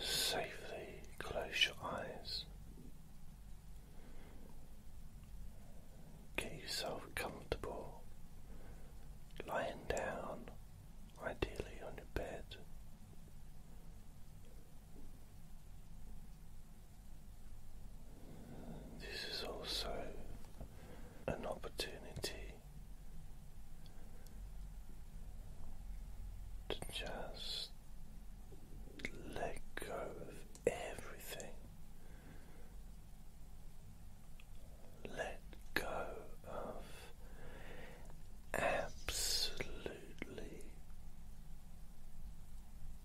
safely close your eyes. Get yourself comfortable, lying down, ideally on your bed. This is also an opportunity to just let go of everything. Let go of absolutely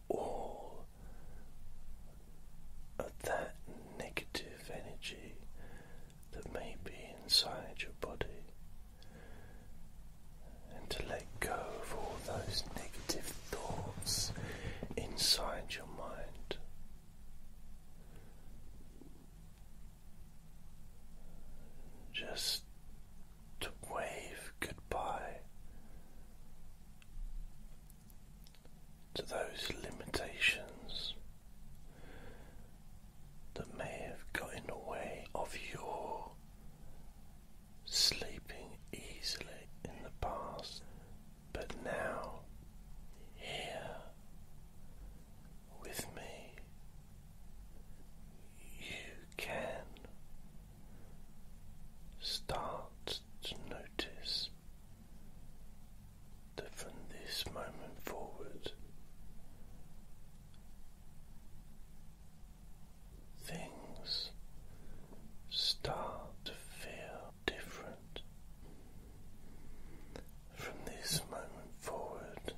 all of that negative energy that may be inside your body and to let go of all those negative thoughts inside your mind. Just to wave goodbye to those limitations that may have got in the way of your sleeping easily in the past, but now here with me, you can start to notice that from this moment forward. Things start to feel different. From this moment forward,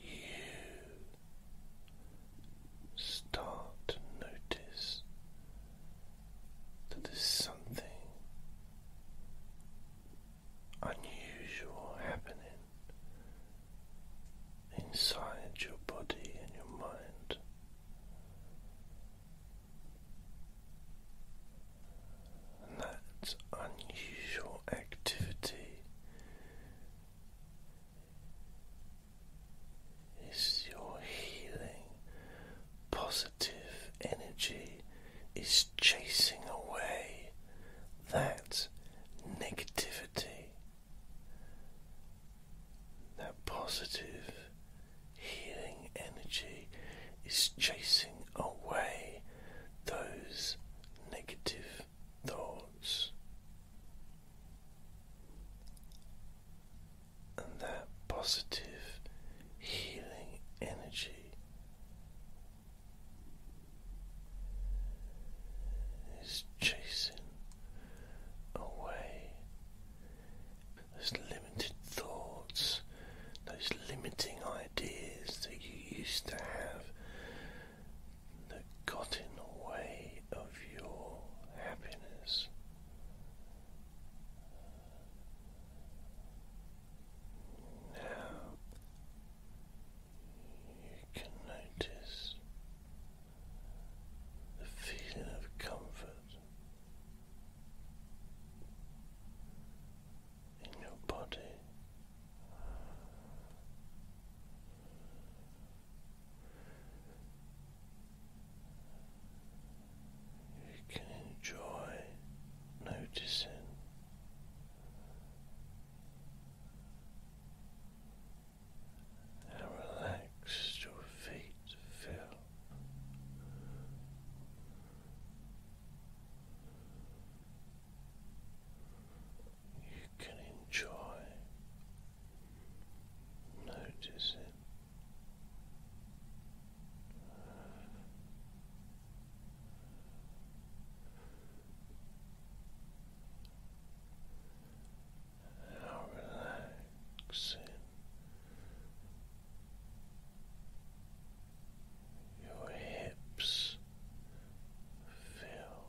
you start to notice that there's something unusual happening inside your body and your mind. And that unusual activity is your healing, positive energy is chasing away that negativity, that positive healing energy is chasing away those negative thoughts. And that positive healing energy is chasing away those limited thoughts, those limiting ideas that you used to have that got in the way of your happiness. Now you can notice the feeling of comfort in your body. You can enjoy noticing how relaxed your feet feel. You can enjoy noticing how relaxing your hips feel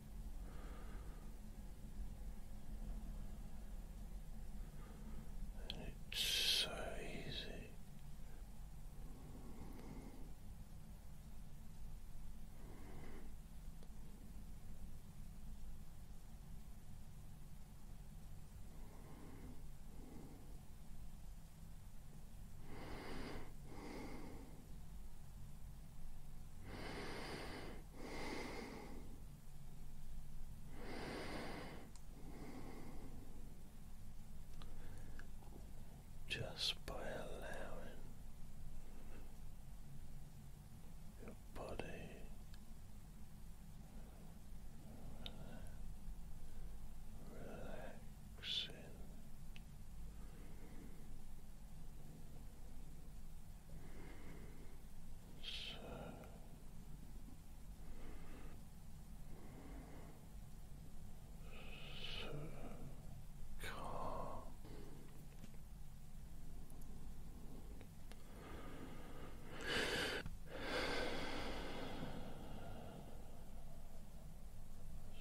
And it's so easy. Just by allowing your body relaxing. So calm.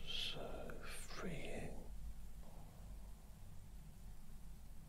So freeing,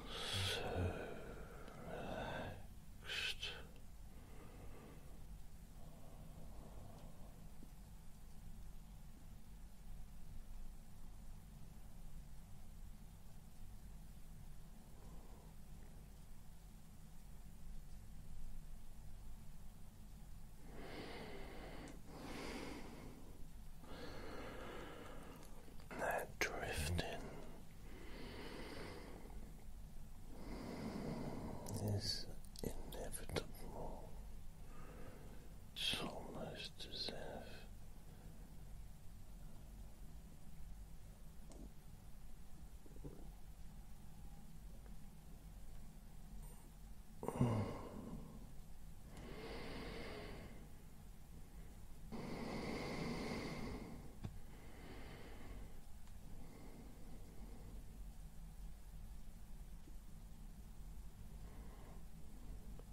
So relaxed. That drifting is inevitable. It's almost to as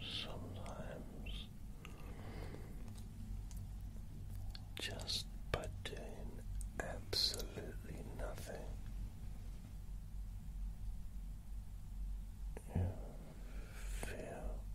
Sometimes, just by doing absolutely nothing, you feel relaxed.